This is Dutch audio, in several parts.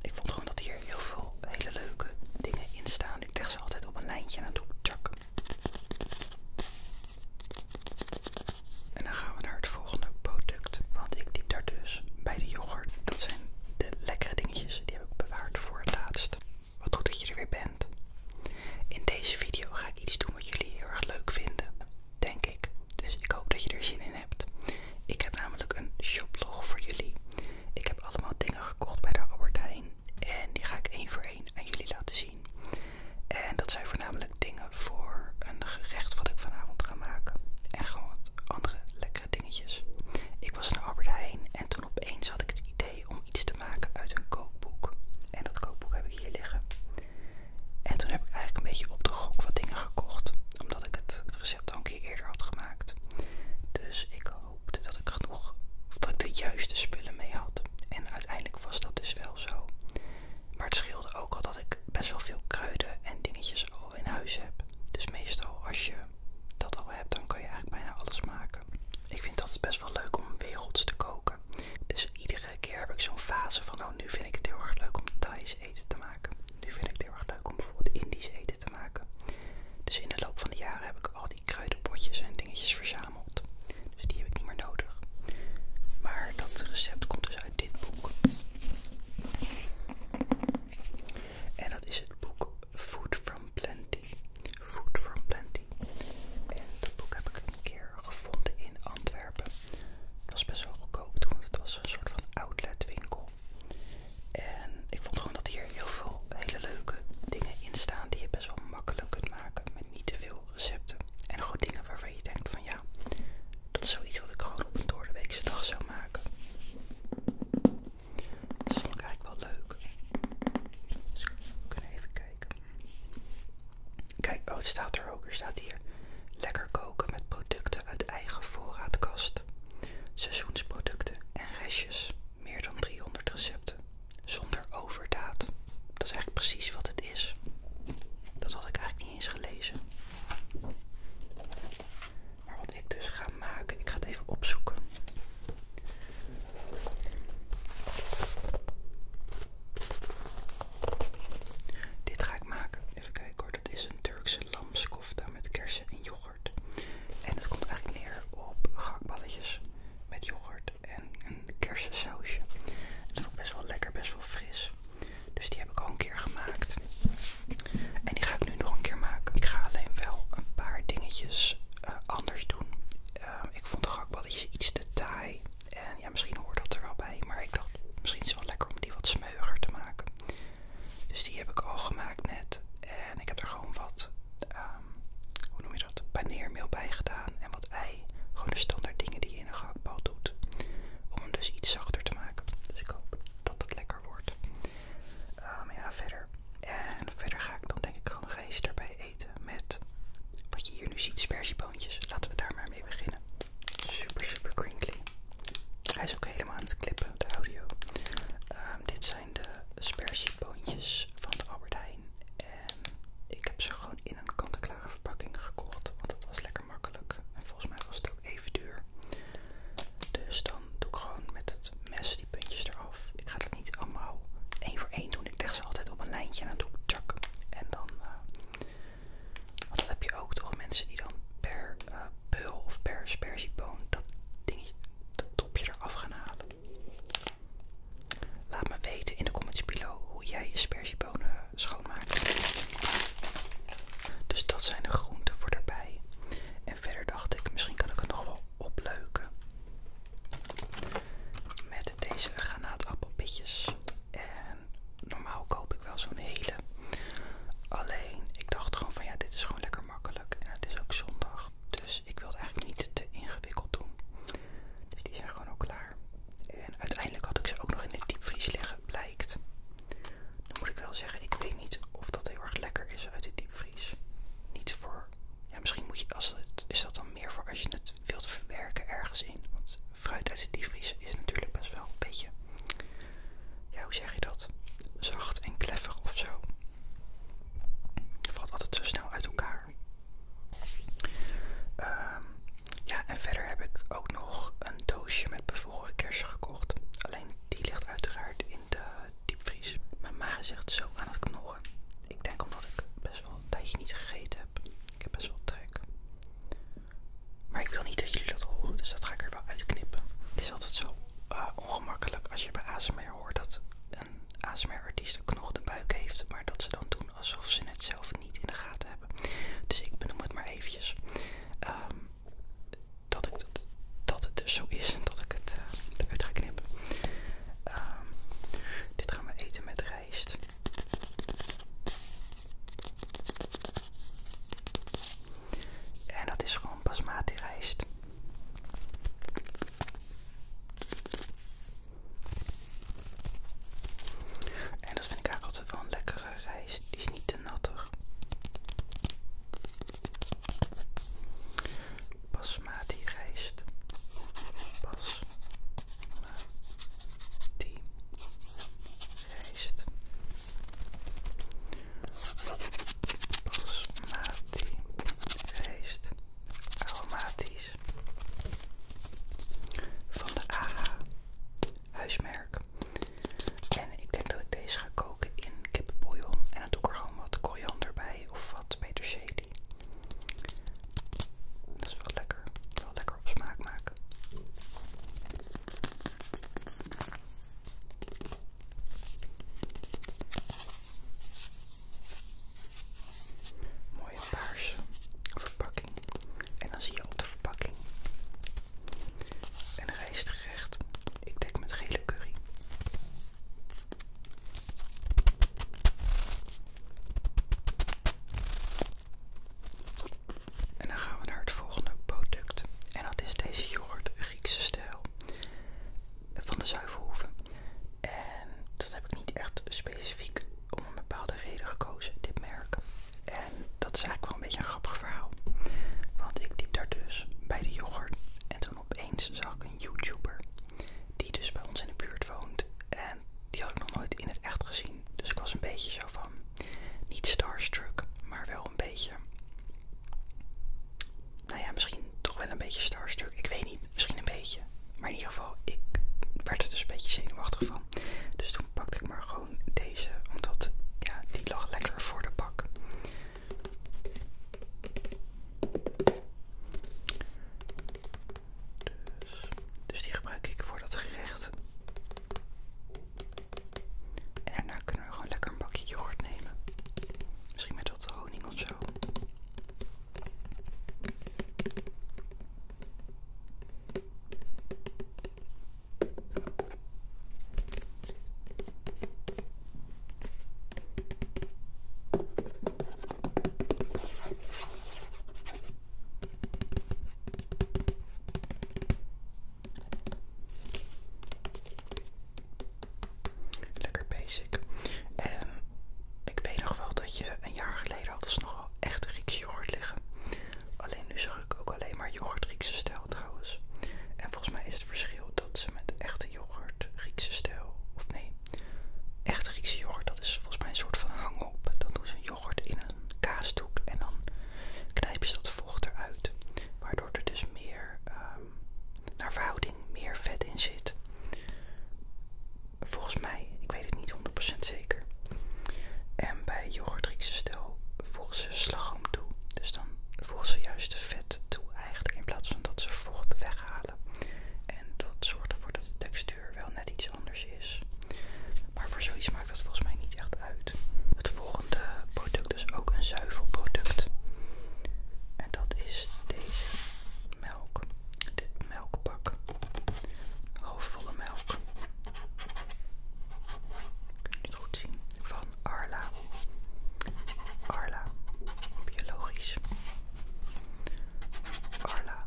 Ik vond gewoon dat hier heel veel hele leuke dingen in staan. Ik leg ze altijd op een lijntje en dan tjak. En dan gaan we naar het volgende product. Want ik diep daar dus bij de yoghurt. Dat zijn de lekkere dingetjes. Die heb ik bewaard voor het laatst. Wat goed dat je er weer bent. In deze video ga ik iets doen wat jullie heel erg leuk vinden. Denk ik. Dus ik hoop dat je er zin in hebt. Ik heb namelijk een shoplog voor jullie. Ik heb allemaal dingen gekocht bij de Albert Heijn. En die ga ik één voor één aan jullie laten zien. En dat zijn voornamelijk dingen voor een gerecht wat ik vanavond ga maken. En gewoon wat andere lekkere dingetjes. Ik was in de Albert Heijn en toen opeens had ik het idee om iets te maken uit een kookboek. En dat kookboek heb ik hier liggen. En toen heb ik eigenlijk een beetje op de gok wat dingen gekocht. Omdat ik het, het het al een keer eerder had gemaakt. Dus ik hoopte dat ik genoeg, of de juiste spullen mee had. En uiteindelijk was dat dus wel zo. Maar het scheelde ook al dat ik best wel veel kruiden en dingetjes al in huis heb. Dus meestal als je dat al hebt, dan kan je eigenlijk bijna alles maken. Ik vind dat best wel leuk om werelds te koken. Dus iedere keer heb ik zo'n fase van, nou nu vind ik het heel erg leuk om Thais eten te maken. Nu vind ik het heel erg leuk om bijvoorbeeld Indisch eten te maken. Dus in de loop van de jaren heb ik al die kruidenpotjes en dingetjes verzameld. Dus die heb ik niet meer nodig. Maar dat recept komt dus uit dit boek. En dat is het boek Food from Plenty. Food from Plenty. En dat boek heb ik een keer gevonden in Antwerpen. Het was best wel goedkoop toen, want het was een soort van outletwinkel. En ik vond gewoon dat hier heel veel hele leuke dingen in staan die je best wel makkelijk kunt maken met niet te veel recepten. En gewoon dingen waarvan je denkt van ja, dat is zoiets wat ik gewoon op een doordeweekse dag zou maken. Dat vond ik eigenlijk wel leuk. Dus we kunnen even kijken. Kijk, oh het staat er ook. Er staat hier lekker koken met producten uit eigen voorraadkast. Seizoensproducten en restjes, meer dan 300 recepten, zonder overdaad. Dat is eigenlijk precies wat het is. Dat had ik eigenlijk niet eens gelezen. Maar wat ik dus ga maken, ik ga het even opzoeken. Dit ga ik maken. Even kijken hoor, dat is een Turkse lamskop kofta met kersen en yoghurt. En het komt eigenlijk neer op gakballetjes met yoghurt en een kersensausje. Het vond best wel lekker, best wel fris. Dus die heb ik al een keer gemaakt. En die ga ik nu nog een keer maken. Ik ga alleen wel een paar dingetjes eh, anders doen. Eh, ik vond de gehaktballetjes iets te taai. En ja, misschien hoort dat er wel bij. Maar ik dacht, misschien is het wel lekker om die wat smeuger te maken. Dus die heb ik al gemaakt net. En ik heb er gewoon wat, ehm, hoe noem je dat, paneermeel bij gedaan. En wat ei. Gewoon de standaard dingen die je in een gehaktbal doet. Om hem dus iets zachter te maken. Dus ik hoop dat het lekker wordt. Ehm, ja, verder. En verder ga ik dan denk ik gewoon rijst erbij eten met wat je hier nu ziet, spersieboontjes. Laten we daar maar mee beginnen. Super, super crinkly. Hij is ook helemaal aan het klippen, de audio. Ehm, dit zijn de spersieboontjes van de Albert Heijn. En ik heb ze gewoon in een kant-en-klare verpakking gekocht. Want dat was lekker makkelijk. En volgens mij was het ook even duur. Dus dan doe ik gewoon met het mes die puntjes eraf. Ik ga dat niet allemaal één voor één doen. Ik leg ze altijd op een lijntje en dan doe ik tjak. En dan eh, want dat heb je ook toch, mensen die dan per uh, eh, beul of per sperzieboon dat dingetje, dat topje eraf gaan halen. Laat me weten in de comments below hoe jij je sperziebonen schoonmaakt. Dus dat zijn de groenten voor daarbij. En verder dacht ik, misschien kan ik het nog wel opleuken. Met deze granaatappelpitjes. En normaal koop ik wel zo'n hele. Alleen, ik dacht gewoon van ja, dit is gewoon lekker makkelijk. En het is ook zondag. Dus ik wilde eigenlijk niet te ingewikkeld doen. Dus die zijn gewoon ook klaar. En uiteindelijk had ik ze ook nog in het diepvries liggen, blijkt. Dan moet ik wel zeggen, ik weet niet of dat heel erg lekker is uit het diepvries. Niet voor. Ja, misschien moet je. Als het, is dat dan meer voor als je het wilt verwerken ergens in. Want fruit uit de diepvries is natuurlijk best wel een beetje, ja hoe zeg je dat, zacht en kleffig of zo. Het valt altijd zo snel uit elkaar. Ehm, ja, en verder heb ik ook nog een doosje met bevroren kersen gekocht. Alleen die ligt uiteraard in de diepvries. Mijn maag zegt zo aan het knorren. Ik denk omdat ik best wel een tijdje niet gegeten heb. Ik heb best wel trek. Maar ik wil niet dat jullie dat horen, dus dat ga ik er wel uitknippen. Het is altijd zo eh, ongemakkelijk als je bij ASMR hoort dat een ASMR-artiest een knocht de buik heeft, maar dat ze dan doen alsof ze het zelf niet in de gaten hebben. Dus ik benoem het maar eventjes. Ehm, dat, het dus zo is en dat ik het eh, eruit ga knippen. Ehm, dit gaan we eten met rijst. En dat is gewoon basmati rijst. En dat vind ik eigenlijk altijd wel een lekkere rijst. Die is niet te nattig. Basmati rijst. Basmati rijst. Basmati feest aromatisch. Van de A huismerk. En ik denk dat ik deze ga koken in kippenbouillon. En dan doe ik er gewoon wat koriander bij of wat peterselie. Dat is wel lekker. Wel lekker op smaak maken. Mooie paarse verpakking. En dan zie je op de verpakking een rijstgerecht. Ik dek met gele curry. En dan gaan we naar het volgende product. En dat is deze yoghurt Griekse stijl van de Zuivelhoeven. En dat heb ik niet echt specifiek om een bepaalde reden gekozen, dit merk. En dat is eigenlijk wel een beetje een grappig verhaal. Want ik liep daar dus bij de yoghurt en toen opeens zag ik een YouTuber die dus bij ons in de buurt woont. En die had ik nog nooit in het echt gezien. Dus ik was een beetje zo van, niet starstruck, maar wel een beetje. Nou ja, misschien toch wel een beetje starstruck. Ik weet niet, misschien een beetje. Maar in ieder geval, ik werd er dus een beetje zenuwachtig van. Dus toen pakte ik maar gewoon deze, omdat ja, die lag lekker voor de bak. dus, dus die gebruik ik voor dat gerecht. En daarna kunnen we gewoon lekker een bakje yoghurt nemen. Misschien met wat honing of zo. Lekker basic. En ik weet nog wel dat je een jaar geleden had eens nog wel echte Griekse yoghurt liggen. Alleen nu zag ik ook alleen maar yoghurt Griekse stijl trouwens. En volgens mij is het verschil dat ze met echte yoghurt Griekse stijl, of nee, echte Griekse yoghurt, dat is volgens mij een soort van hang-op. doen in een kaasdoek en dan knijp je dat vocht eruit. Waardoor er dus meer, ehm, naar verhouding, meer vet in zit. Volgens mij, ik weet het niet 100% zeker. En bij yoghurt Griekse stel voegen ze slagroom toe. Dus dan voegen ze juist de vet toe eigenlijk in plaats van dat ze vocht weghalen. En dat zorgt ervoor dat de textuur wel net iets anders is. Maar voor zoiets maakt dat volgens mij niet echt uit. Het volgende product is ook een zuivelproduct. En dat is deze melk. Dit melkpak. Halfvolle melk. Kun je het goed zien? Van Arla. Arla. Biologisch. Arla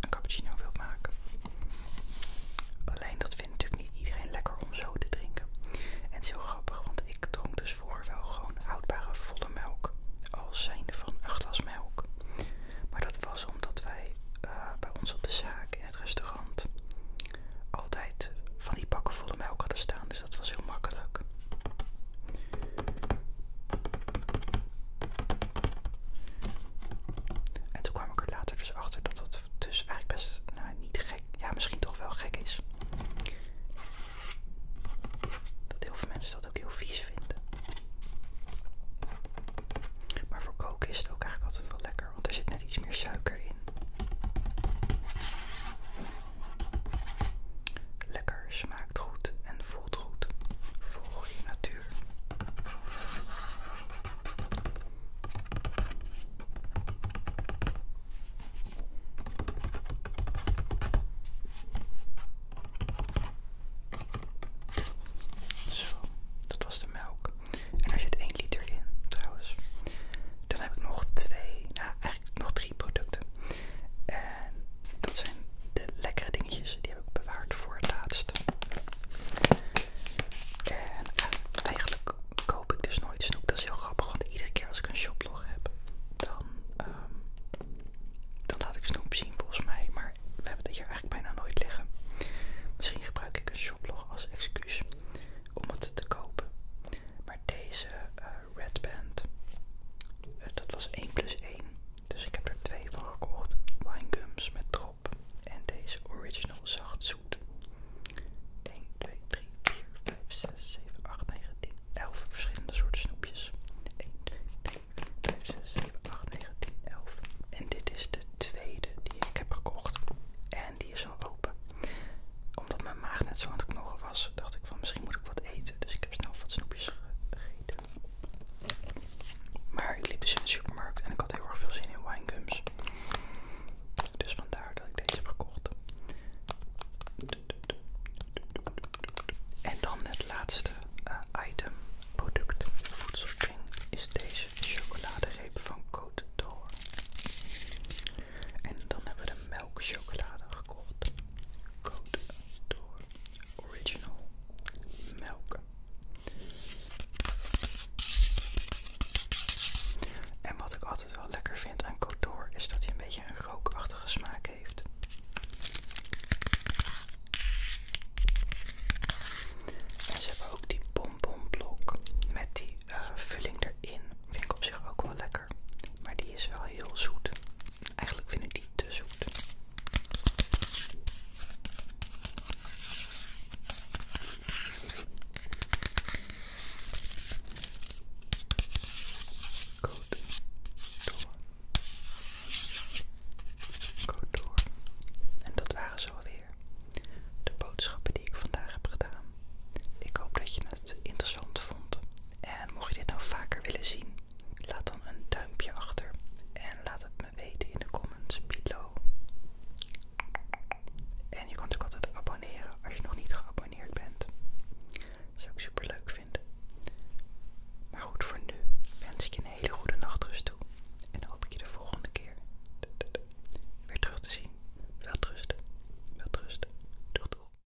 een cappuccino wil maken. Alleen dat vindt natuurlijk niet iedereen lekker om zo te drinken. En het is heel grappig, want ik dronk dus voor wel gewoon houdbare volle melk. Als zijnde van een glas melk. Maar dat was omdat wij eh, bij ons op de zaak in het restaurant altijd van die pakken volle melk hadden staan. Dus dat was heel makkelijk. En toen kwam ik er later dus achter dat dat dus eigenlijk best nou, niet gek, ja misschien toch wel gek is. Dat heel veel mensen dat ook heel vies vinden. Maar voor koken is het ook eigenlijk altijd wel lekker, want er zit net iets meer suiker in. Lekker smaak goed en voelt goed. Volg je natuur. Zo, dat was de melk. En er zit 1 liter in trouwens. Dan heb ik nog twee, nou eigenlijk nog drie producten. En dat zijn de lekkere dingetjes, die heb ik bewaard voor het laatst. En eh, eigenlijk koop ik dus nooit snoep, dat is heel grappig, want iedere keer als ik een shoplog heb, dan, ehm, laat ik snoep zien volgens mij. Maar we hebben dit hier eigenlijk bijna nooit liggen. Misschien gebruik ik een shoplog als excuus om het te kopen. Maar deze eh, Red Band. Eh, dat was 1 plus 1. Dus ik heb er twee van gekocht. gums met drop. En deze original zacht zoet. 1, 2, 3, 4, 5, 6, 7, 8, 9, 10, 11 verschillende soorten snoepjes. 1, 2, 3, 4, 5, 6, 7, 8, 9, 10, 11. En dit is de tweede die ik heb gekocht. En die is al open. Omdat mijn maag net zo aan het knoren was, dacht ik van misschien moet ik wat eten. Dus ik heb snel wat snoepjes maar ik liep dus in de supermarkt en ik had heel erg veel zin in winegums. Dus vandaar dat ik deze heb gekocht. En dan het laatste eh, item, product, voedselking, is deze chocoladereep van Côte d'Or. En dan hebben we de melkchocolade gekocht. Code door Original Melk. En wat ik altijd wel lekker vind aan Door is dat hij een beetje een rookachtige smaak heeft. En ze hebben ook die bonbonblok met die eh, vulling erin. Vind ik op zich ook wel lekker. Maar die is wel heel zoet. Eigenlijk vind ik die te zoet. Code door. Code door. En dat waren zo weer de boodschappen die ik vandaag heb gedaan. Ik hoop dat je het interessant vond en mocht je dit nou vaker willen zien, laat dan een duimpje achter en laat het me weten in de comments below. En je kan ook altijd abonneren als je nog niet geabonneerd bent. Dat zou ik super leuk vinden. Maar goed, voor nu wens ik je een hele goede nachtrust toe. En hoop ik je de volgende keer weer terug te zien. Veel trusten. Wel trusten. Doeg doeg.